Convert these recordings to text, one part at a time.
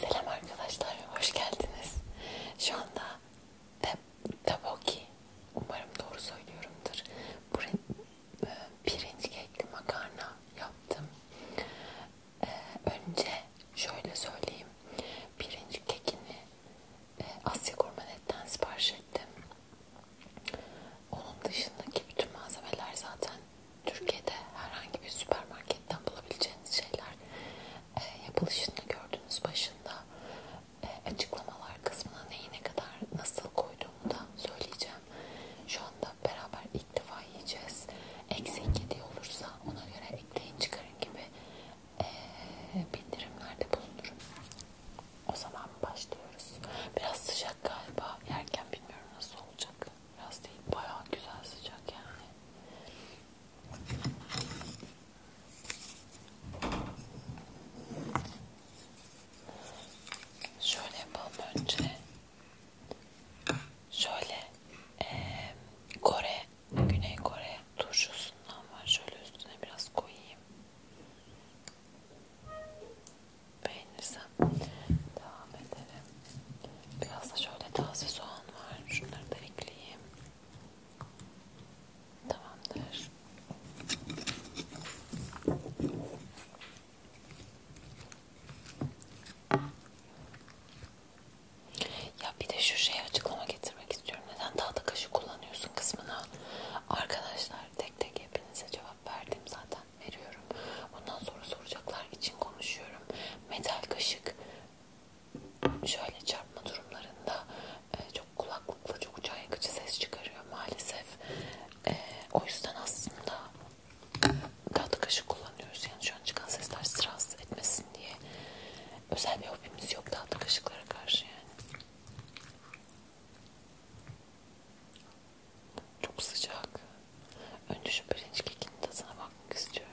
Selam arkadaşlar, hoş geldiniz. Şu anda Taboki. Umarım doğru söylüyorumdur. E, pirinç kekli makarna yaptım. Ee, önce şöyle söyleyeyim. Pirinç kekini e, Asya Gurmanet'ten sipariş ettim. Onun dışındaki bütün malzemeler zaten Türkiye'de herhangi bir süpermarketten bulabileceğiniz şeyler yapılışını gördünüz başında. E, açıklamalar kısmına neyi ne kadar nasıl koyduğumu da söyleyeceğim. Şu anda beraber ilk defa yiyeceğiz. Eksi 7 olursa ona göre ekleyin çıkarın gibi e, bildirimlerde bulunurum. O zaman başlıyoruz. Biraz sıcak galiba. Yerken bilmiyorum nasıl olacak. Biraz değil bayağı güzel sıcak yani. Şöyle yapalım önce. Şöyle e, Kore, Güney Kore turşusundan var. Şöyle üstüne biraz koyayım. Beğenirsem devam edelim. Biraz da şöyle taze soğan var. Şunları da ekleyeyim. Tamamdır. Ya bir de şu şeye açıklama getirmek istiyorum. Neden tahta kaşık kullanıyorsun kısmına? Arkadaşlar tek tek hepinize cevap verdim zaten. Veriyorum. Bundan sonra soracaklar için konuşuyorum. Metal kaşık şöyle çarpma durumlarında e, çok kulaklıkla çok can yakıcı ses çıkarıyor maalesef. E, o yüzden aslında tatlı kaşık kullanıyoruz. Yani şu an çıkan sesler sırası etmesin diye. Özel bir hobimiz yok tatlı kaşıklara karşı yani. Çok sıcak. Önce şu pirinç kekinin tadına bakmak istiyorum.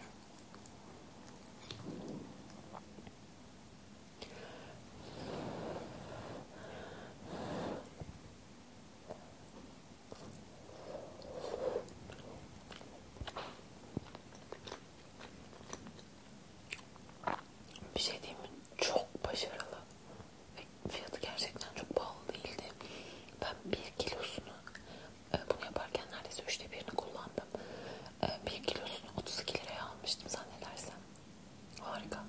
Bir şey diyeyim mi? Çok başarılı. Ve fiyatı gerçekten çok pahalı değildi. Ben bir kilosunu e, bunu yaparken neredeyse üçte birini kullandım. Ee, bir kilosunu 32 liraya almıştım zannedersem. Harika.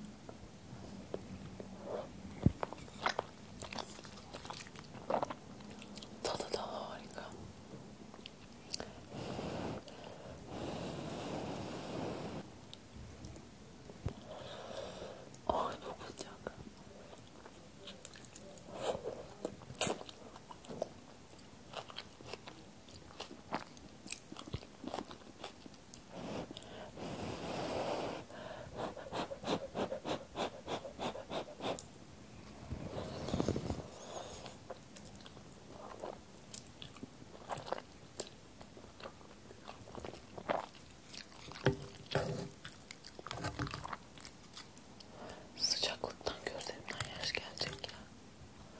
Tadı da harika. Ay çok sıcak. Sıcaklıktan gözlerimden yaş gelecek ya.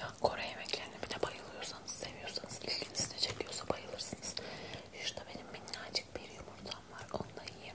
Ya Kore yemeklerine bir de bayılıyorsanız, seviyorsanız, ilginizi çekiyorsa bayılırsınız. Şurada benim minnacık bir yumurtam var. Onu da yiyeyim.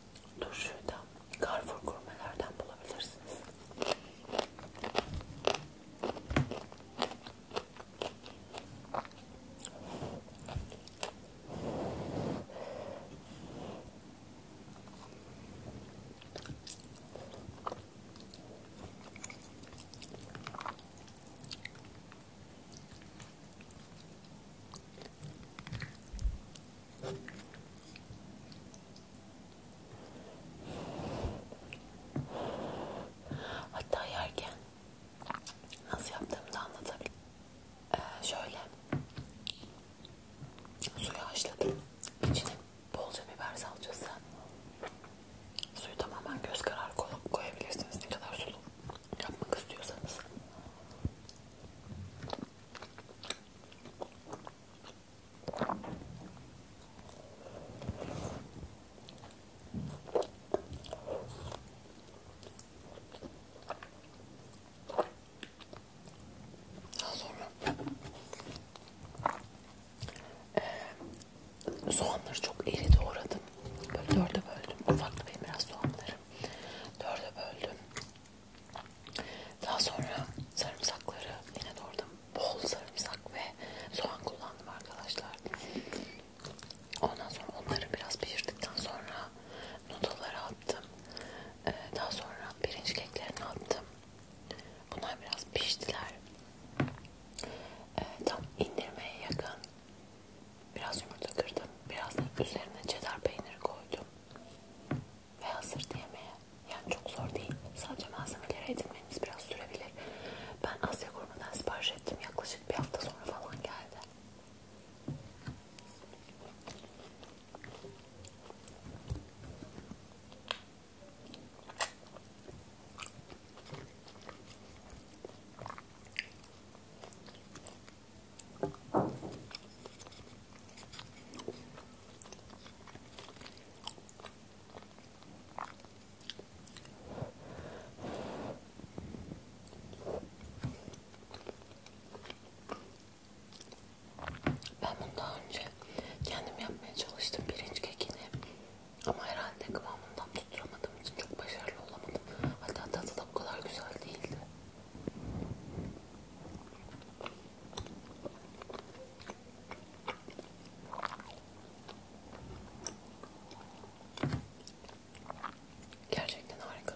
turşuyu da Carrefour gurmelerden bulabilirsiniz. Hatta yerken nasıl yaptığımı da anlatabilirim. Ee, şöyle suyu haşladım. İçine bolca biber salçası. Suyu tamamen göz kararı koyabilirsiniz. Ne kadar sulu yapmak istiyorsanız. Daha sonra ee, soğanları çok iri doğradım. Böyle dörde böldüm. Ufaklı benim biraz soğanlarım. Dörde böldüm. Daha sonra sarımsakları yine doğradım. Bol sarımsak ve soğan kullandım arkadaşlar. Ondan sonra onları biraz pişirdikten sonra noodle'ları attım. Ee, daha sonra pirinç keklerini attım. Bunlar biraz piştiler. Ee, tam indirmeye yakın biraz yumurta kırdım. Biraz üzerine cheddar peyniri koydum ve hazır yemeğe yani çok zor değil. Sadece malzemeleri edinmemiz biraz sürebilir. Ben Asya Kurum'dan sipariş ettim. Yaklaşık bir hafta sonra falan geldi. Ben bunu daha önce kendim yapmaya çalıştım pirinç kekini ama herhalde kıvamından tutturamadığım için çok başarılı olamadım. Hatta tadı da bu kadar güzel değildi. Gerçekten harika.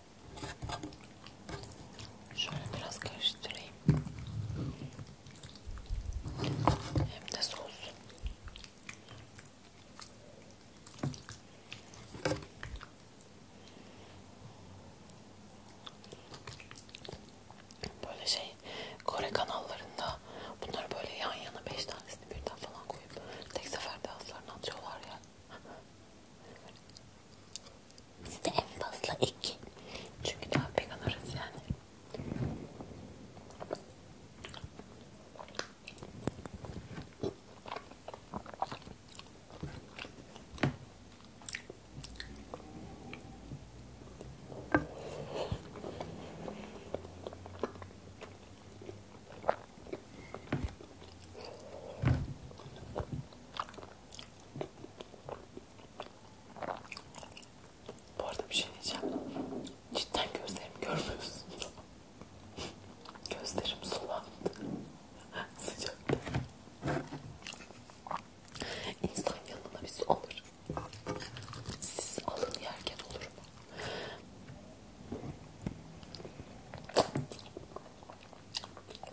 Şöyle biraz karıştırayım. Hem de soğusun. Böyle şey Kore kanallarında bunları böyle yan yana 5 tanesini birden falan koyup tek seferde ağızlarına atıyorlar ya. Size en fazla iki. Çünkü daha pek alırız yani. Bu arada bir şey diyeceğim. Cidden gözlerimi görmüyorsun. Gözlerim sulandı. Sıcakta. İnsan yanına bir su alır. Siz alın yerken olur mu?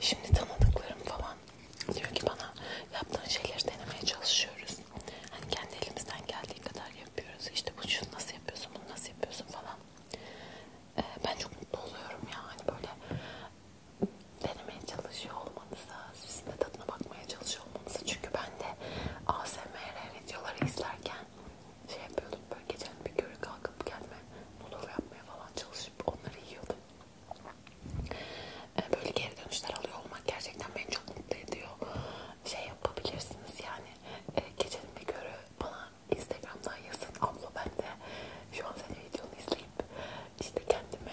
Şimdi tanıdıklarım falan diyor ki bana yaptığın şeyleri denemeye çalışıyoruz. Hani kendi elimizden geldiği kadar yapıyoruz. İşte bu şunu nasıl yapıyorsun, bunu nasıl yapıyorsun falan. Ee, ben çok mutlu oluyorum ya hani böyle denemeye çalışıyor olmanıza sizin de tadına bakmaya çalışıyor olmanızı. Çünkü ben de ASMR videoları izlerken şey yapıyordum böyle gecenin bir körü kalkıp kendime noodle yapmaya falan çalışıp onları yiyordum. Ee, böyle geri dönüşler alıyor olmak gerçekten beni çok mutlu ediyor. Şey yapabilirsiniz yani e, gecenin bir körü bana Instagram'dan yazın abla ben de şu an senin videonu izleyip işte kendime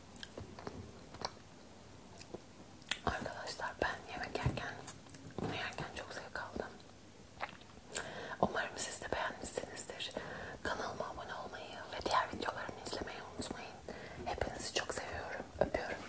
Arkadaşlar ben yemek yerken, bunu yerken çok zevk aldım. Umarım siz de beğenmişsinizdir. Kanalıma abone olmayı ve diğer videolarımı izlemeyi unutmayın. Hepinizi çok seviyorum. Öpüyorum.